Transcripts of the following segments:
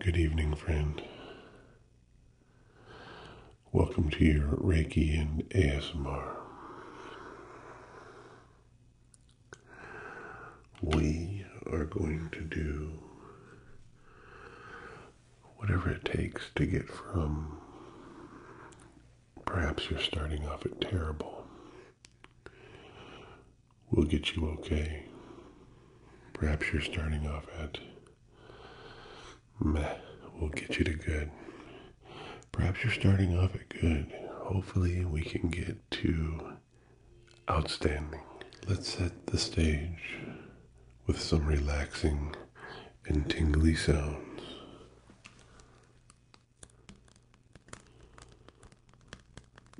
Good evening, friend. Welcome to your Reiki and ASMR. We are going to do whatever it takes to get from perhaps you're starting off at terrible we will get you okay. Perhaps you're starting off at meh will get you to good. Perhaps you're starting off at good. Hopefully, we can get to outstanding. Let's set the stage with some relaxing and tingly sounds.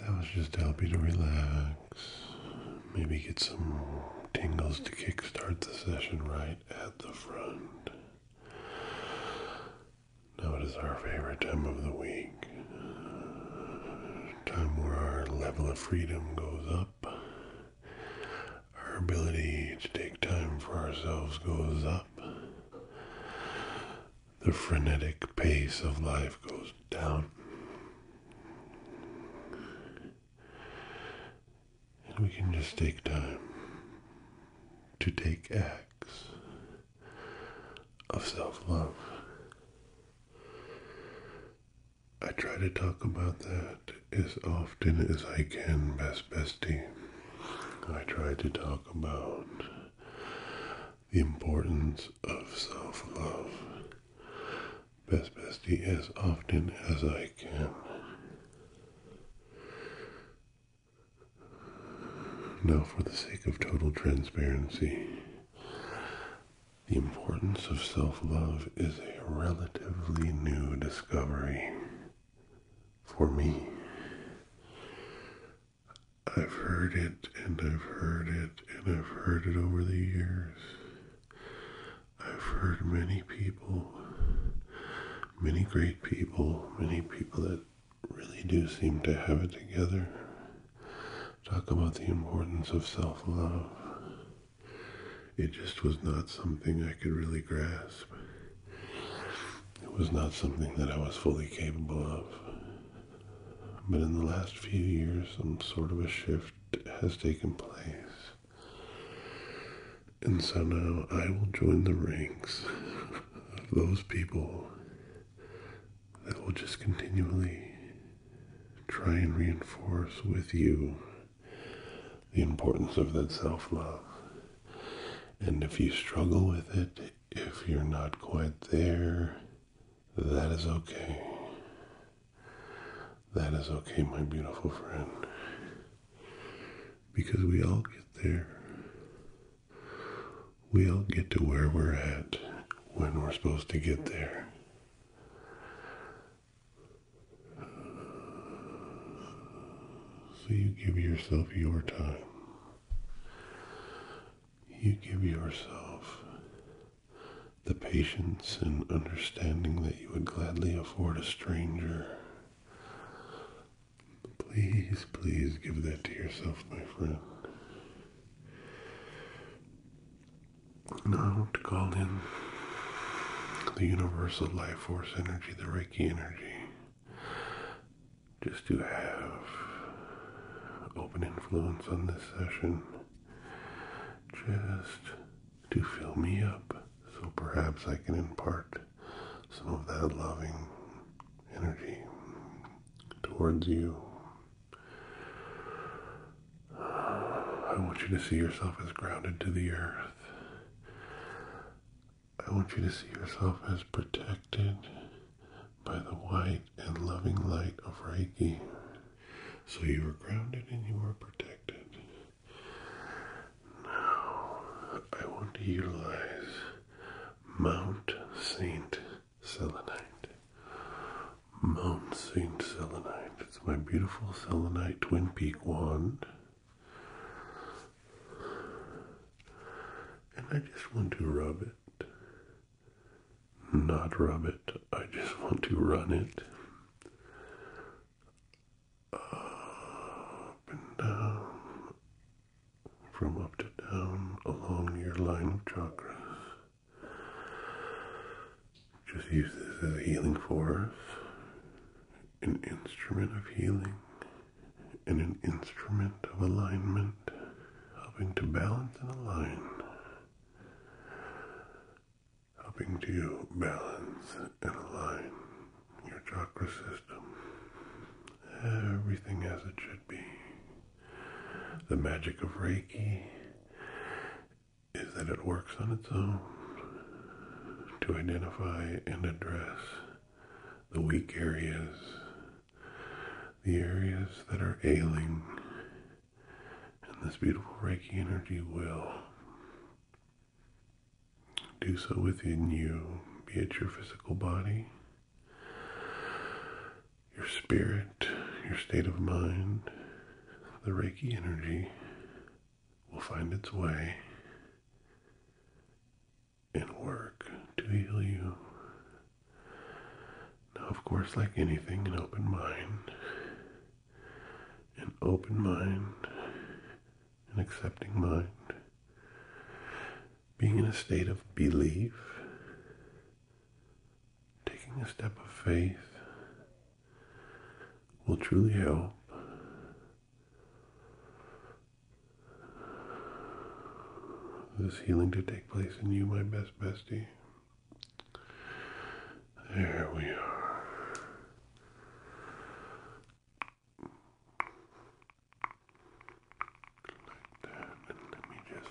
That was just to help you to relax. Maybe get some tingles to kickstart the session right at the front. Now it is our favorite time of the week. Time where our level of freedom goes up. Our ability to take time for ourselves goes up. The frenetic pace of life goes down. And we can just take time to take acts of self love. I try to talk about that as often as I can, best bestie. I try to talk about the importance of self love, best bestie, as often as I can. Now, for the sake of total transparency, the importance of self love is a relatively new discovery for me. I've heard it and I've heard it and I've heard it over the years. I've heard many people, many great people, many people that really do seem to have it together talk about the importance of self love. It just was not something I could really grasp. It was not something that I was fully capable of. But in the last few years, some sort of a shift has taken place. And so now I will join the ranks of those people that will just continually try and reinforce with you the importance of that self love. And if you struggle with it, if you're not quite there, that is okay. That is okay, my beautiful friend. Because we all get there. We all get to where we're at when we're supposed to get there. So you give yourself your time. You give yourself the patience and understanding that you would gladly afford a stranger. Please, please give that to yourself, my friend. Now I want to call in the universal life force energy, the Reiki energy, just to have open influence on this session, just to fill me up so perhaps I can impart some of that loving energy towards you I want you to see yourself as grounded to the earth. I want you to see yourself as protected by the white and loving light of Reiki. So you are grounded and you are protected. Now, I want to utilize Mount Saint Selenite Mount St. Selenite. It's my beautiful Selenite Twin Peak wand. And I just want to rub it. Not rub it, I just want to run it. Up and down. From up to down along your line of chakras. Just use this as a healing force, an instrument of healing, and an instrument of alignment, helping to balance and align, helping to balance and align your chakra system. Everything as it should be. The magic of Reiki is that it works on its own to identify and address the weak areas, the areas that are ailing, and this beautiful Reiki energy will do so within you, be it your physical body, your spirit, your state of mind, the Reiki energy will find its way and work to heal you. Now, of course, like anything, an open mind, an open mind, an accepting mind, being in a state of belief, taking a step of faith will truly help. This healing to take place in you, my best bestie. There we are. Like that. And let me just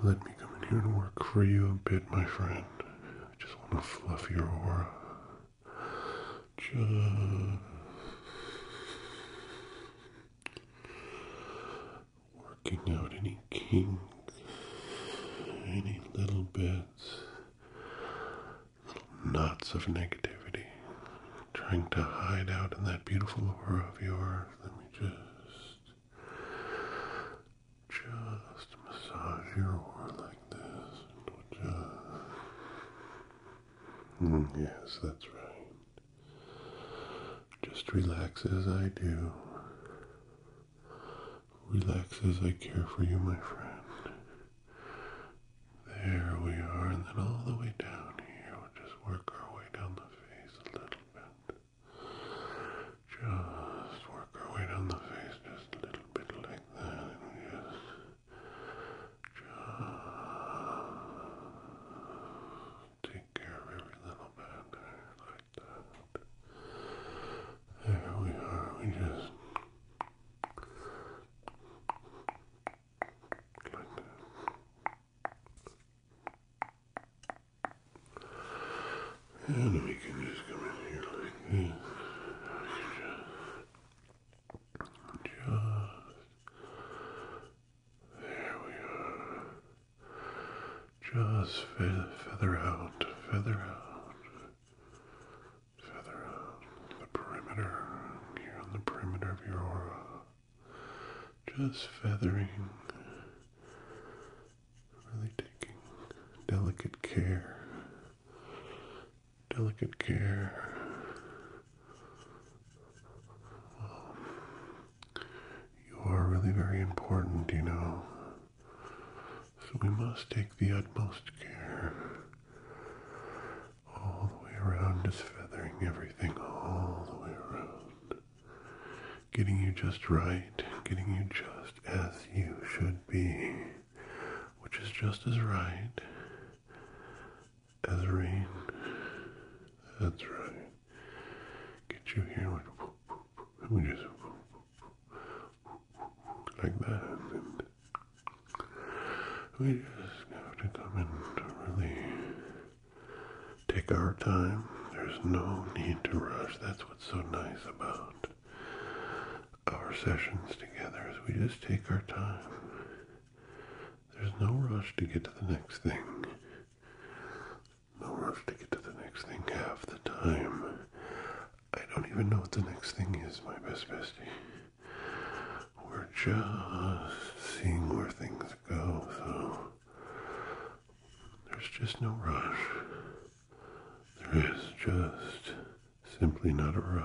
Let me come in here and work. Let me come in here and work for you a bit, my friend. I just want to fluff your aura. Just working out any kinks, any little bits, little knots of negativity, trying to hide out in that beautiful aura of yours. Let me just, just massage your aura like this. Mm, yes, that's right. Just relax as I do. Relax as I care for you, my friend. There we are, and then all the way down here, we'll just work our way down the face a little bit. Just work our way down the face just a little bit like that, and just just take care of every little bit like that. There we are. We just like that. And we can just come in here like this. just there we are. Just feather out, feather the perimeter here on the perimeter of your aura. Just feathering, really taking delicate care, delicate care you are really very important, you know. So we must take the utmost care. All the way around, is feathering everything all the way around. Getting you just right, getting you just as you should be, which is just as right as rain. That's right. Get you here like, let just like that, and we just have to come in to really take our time. There's no need to rush. That's what's so nice about our sessions together is we just take our time there's no rush to get to the next thing. No rush to get to the next thing half the time. I don't even know what the next thing is, my best bestie. We're just seeing where things go, so there's just no rush. There is just simply not a rush.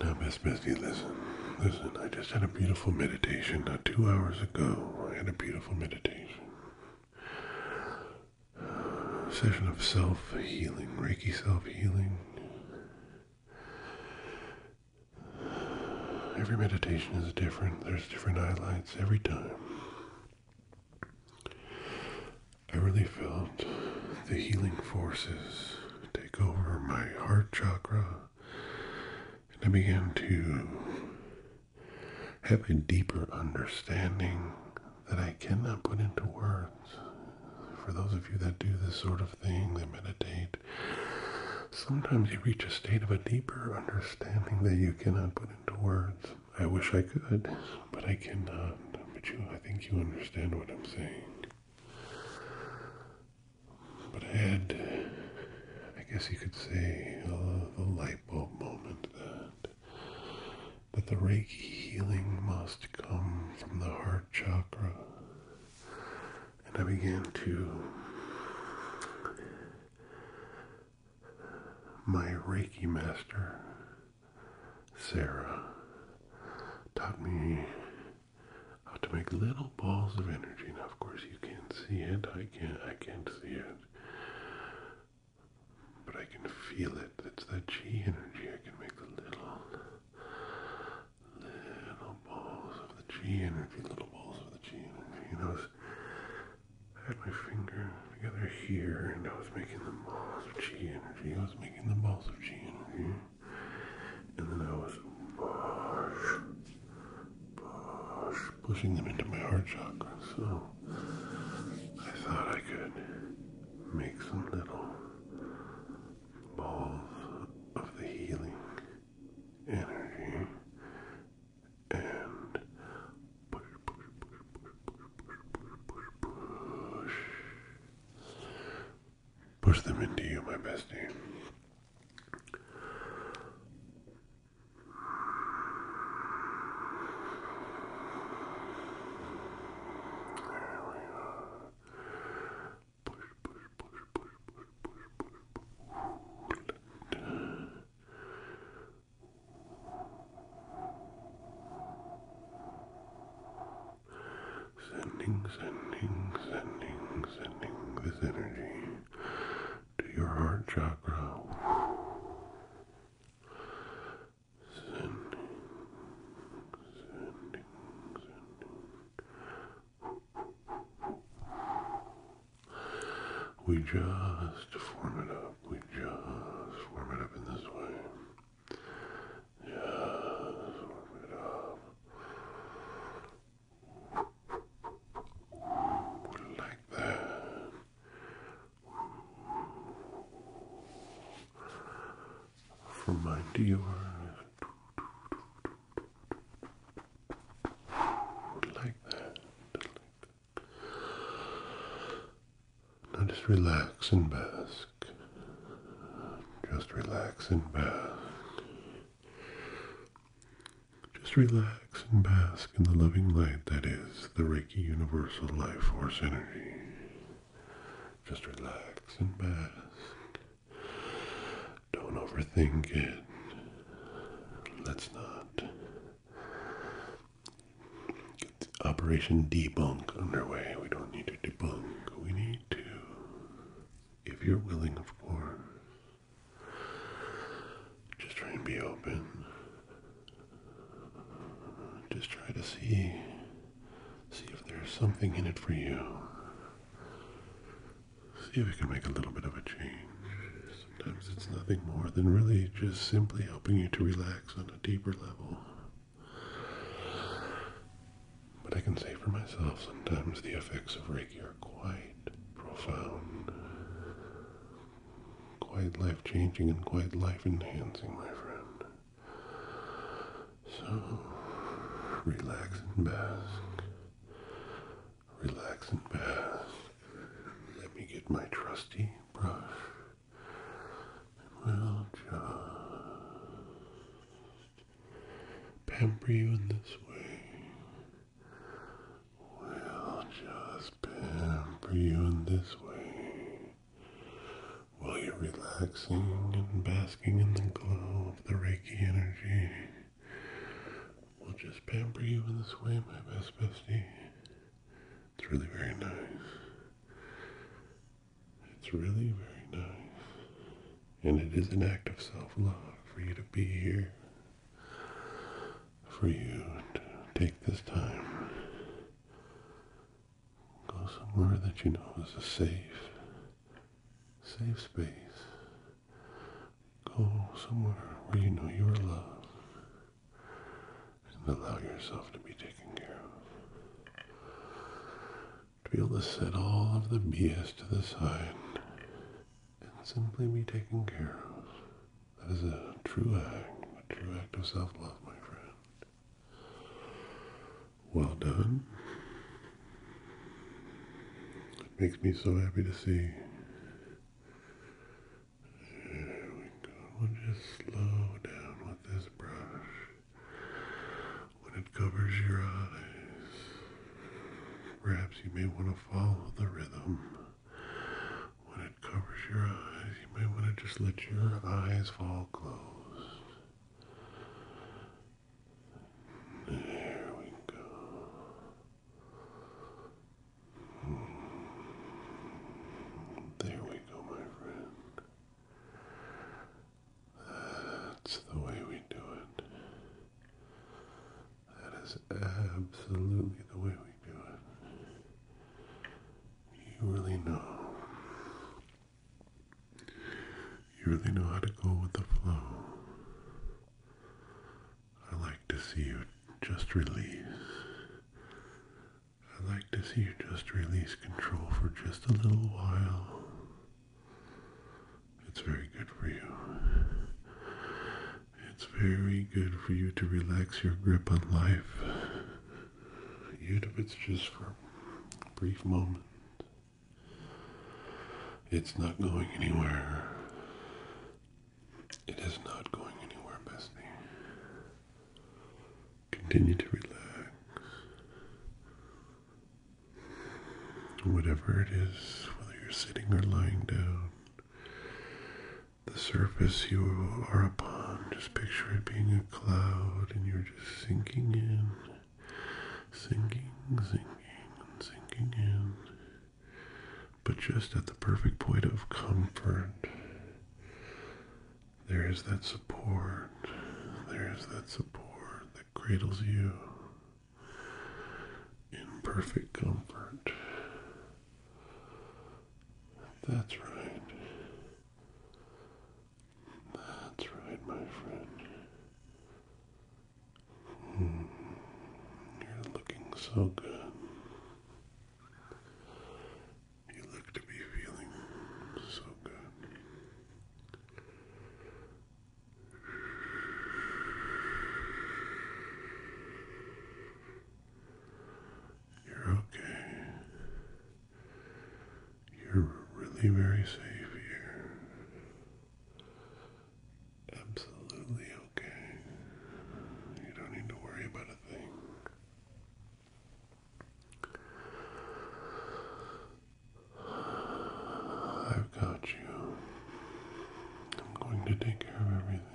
Now, Miss Misty, listen, listen. I just had a beautiful meditation not two hours ago. I had a beautiful meditation session of self healing, Reiki self healing. Every meditation is different, there's different highlights every time. I really felt the healing forces take over my heart chakra, and I began to have a deeper understanding that I cannot put into words. For those of you that do this sort of thing, that meditate, sometimes you reach a state of a deeper understanding that you cannot put into words. I wish I could, but I cannot. But you, I think you understand what I'm saying. But I had, I guess you could say, uh, the light bulb moment that that the Reiki healing must come from the heart chakra. And I began to. My Reiki master, Sarah, taught me how to make little balls of energy. Now, of course, you can't see it. I can't. I can't see it. But I can feel it. It's the chi energy. I can make the little, little balls of the chi energy, little balls of the chi energy. I was, I had my finger together here, and I was making the balls of chi energy. I was making the balls of chi energy. And then I was push, push, pushing them into my heart chakra. So I thought I could Make some little balls of the healing energy and push, push, push, push, push, push, push, push. Push them into you, my bestie. Relax. There we are. Push, push, push, push, push, Sending, sending, sending, sending this energy to your heart chakra sending, sending, sending. We just form it up. We just form it up in this way. Just form it up. Like that from my Dior. Like that. Now just relax and bask. Just relax and bask. Just relax and bask in the loving light that is the Reiki Universal Life Force Energy. Just relax and bask. Don't overthink it. Let's not get Operation Debunk underway. We don't need to debunk. We need to, if you're willing, of course, just try and be open. Just try to see see if there's something in it for you. See if we can make a little bit of a change. Sometimes it's nothing more than really just simply helping you to relax on a deeper level. But I can say for myself, sometimes the effects of Reiki are quite profound, quite life changing, and quite life enhancing, my friend. So relax and bask. Relax and bask. Let me get my trusty brush. we'll just pamper you in this way. We'll just pamper you in this way while you're relaxing and basking in the glow of the Reiki energy. We'll just pamper you in this way, my best bestie. It's really very nice. It's really very nice. And it is an act of self-love for you to be here. For you to take this time Go somewhere that you know is a safe, safe space. Go somewhere where you know you are loved and allow yourself to be taken care of. To be able to set all of the BS to the side and simply be taken care of. That is a true act, a true act of self-love, my friend. Well done. It makes me so happy to see. We'll just slow down with this brush when it covers your eyes. Perhaps you may want to follow the rhythm. When it covers your eyes, you may want to just let your eyes fall closed. There we go. There we go, my friend. That's the way we do it. That is absolutely the way we do it. You really know you really know how to go with the flow. I like to see you just release. I like to see you just release control for just a little while. It's very good for you. It's very good for you to relax your grip on life you if its just for a brief moment. It's not going anywhere. It is not going anywhere, bestie. Continue to relax. Whatever it is, whether you're sitting or lying down, the surface you are upon, just picture it being a cloud and you're sinking in, sinking, sinking, sinking in, but just at the perfect point of comfort. There is that support, there is that support that cradles you in perfect comfort. That's right. That's right, my friend. Hmm. you're looking so good. You look to be feeling so good. You're okay. You're really very safe here. Absolutely okay. You don't need to worry about a thing. I've got you. I'm going to take care of everything.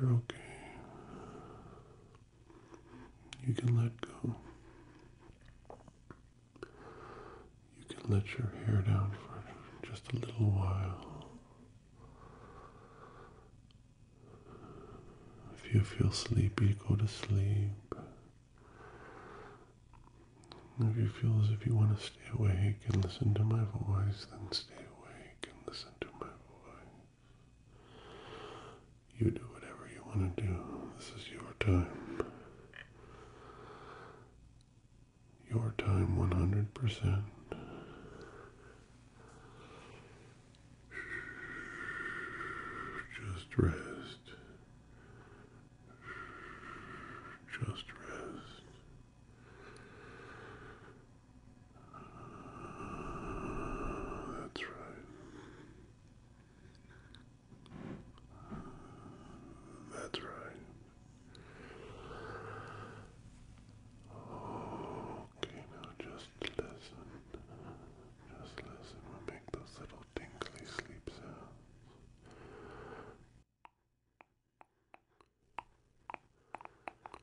You're okay. You can let go. You can let your hair down for just a little while. If you feel sleepy, go to sleep. If you feel as if you want to stay awake and listen to my voice, then stay awake and listen to my voice. You do whatever you want to do. This is your time. Your time 100%. Just rest. Just rest that's right. that's right. Okay, now just listen. Just listen. we make those little tingly sleep sounds.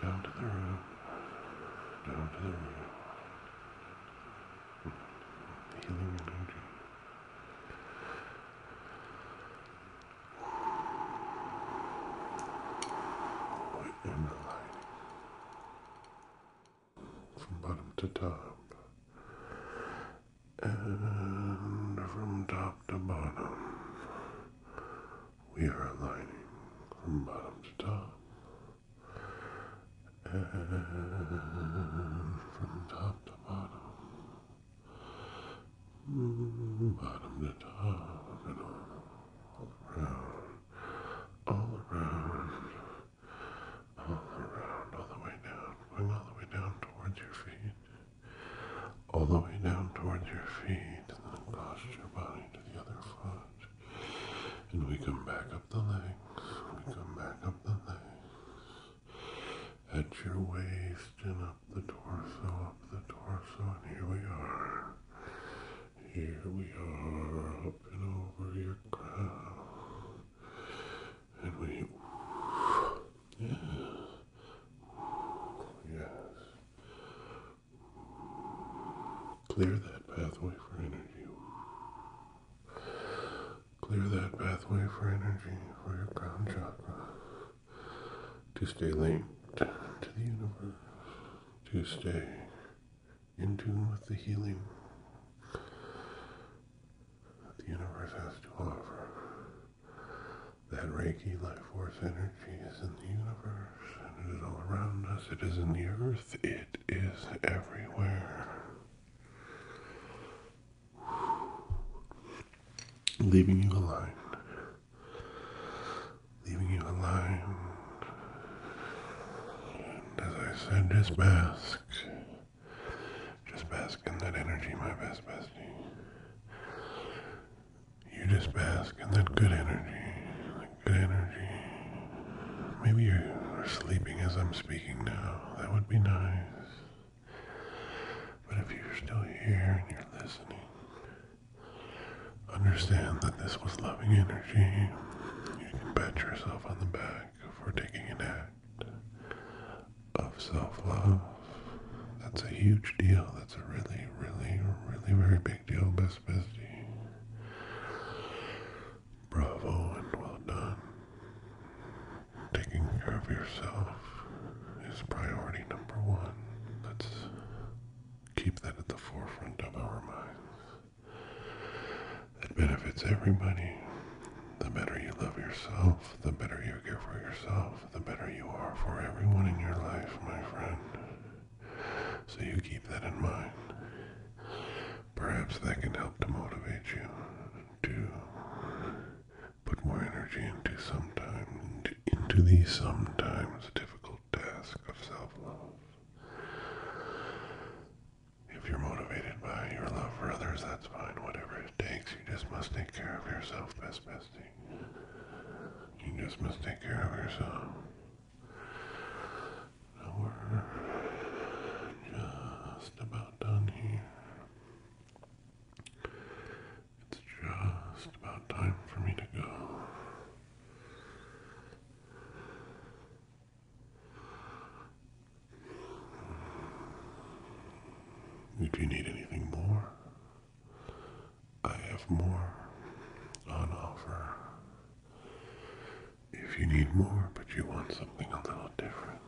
Down to the room. Down to the room. Healing energy. Right in the light. From bottom to top. And from top to bottom, we are aligning from bottom to top. And from top to bottom, bottom to top, and all, around, all around, all around, all the way down, going all the way down towards your feet all the way down towards your feet, and then cross your body to the other foot. And we come back up the legs, we come back up the legs, at your waist and up the torso, up the torso, and here we are. Here we are, up and over your crown. And we Yes. Yes. Clear that pathway for energy. Clear that pathway for energy for your crown chakra to stay linked to the universe, to stay in tune with the healing that the universe has to offer that Reiki life force energy is in the universe and it is all around us. It is in the earth. It is everywhere. Leaving you alone. Leaving you alone. And as I said, just bask. Just bask in that energy, my best bestie. You just bask in that good energy, that good energy. Maybe you're sleeping as I'm speaking now. That would be nice. But if you're still here and you're listening, understand that this was loving energy. You can pat yourself on the back for taking an act of self-love. That's a huge deal. That's a really, really, really very big deal, Best Bestie. Bravo and well done. Taking care of yourself is priority number one. Let's keep that at the forefront of our minds. That benefits everybody. The better you love yourself, the better you care for yourself, the better you are for everyone in your life, my friend. So you keep that in mind. Perhaps that can help to motivate you to put more energy into sometimes into the sometimes difficult task of self-love. If you're motivated by your love for others, that's fine. Whatever it takes, you just must take care of yourself, best bestie. You just must take care of yourself. we're just about done here. It's just about time for me to go. If you need anything more, I have more on offer. If you need more, but you want something a little different,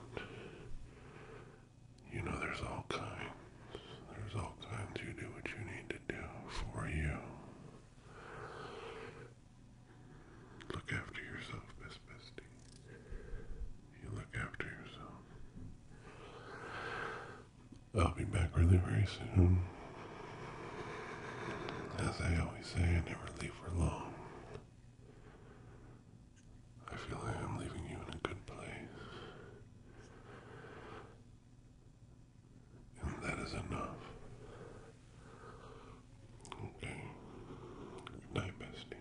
you know there's all kinds. There's all kinds. You do what you need to do for you. Look after yourself, Miss Misty. You look after yourself. I'll be back really very soon. As I always say, I never leave for long. I feel like I'm leaving you in a good place. And that is enough. Okay. Good bestie.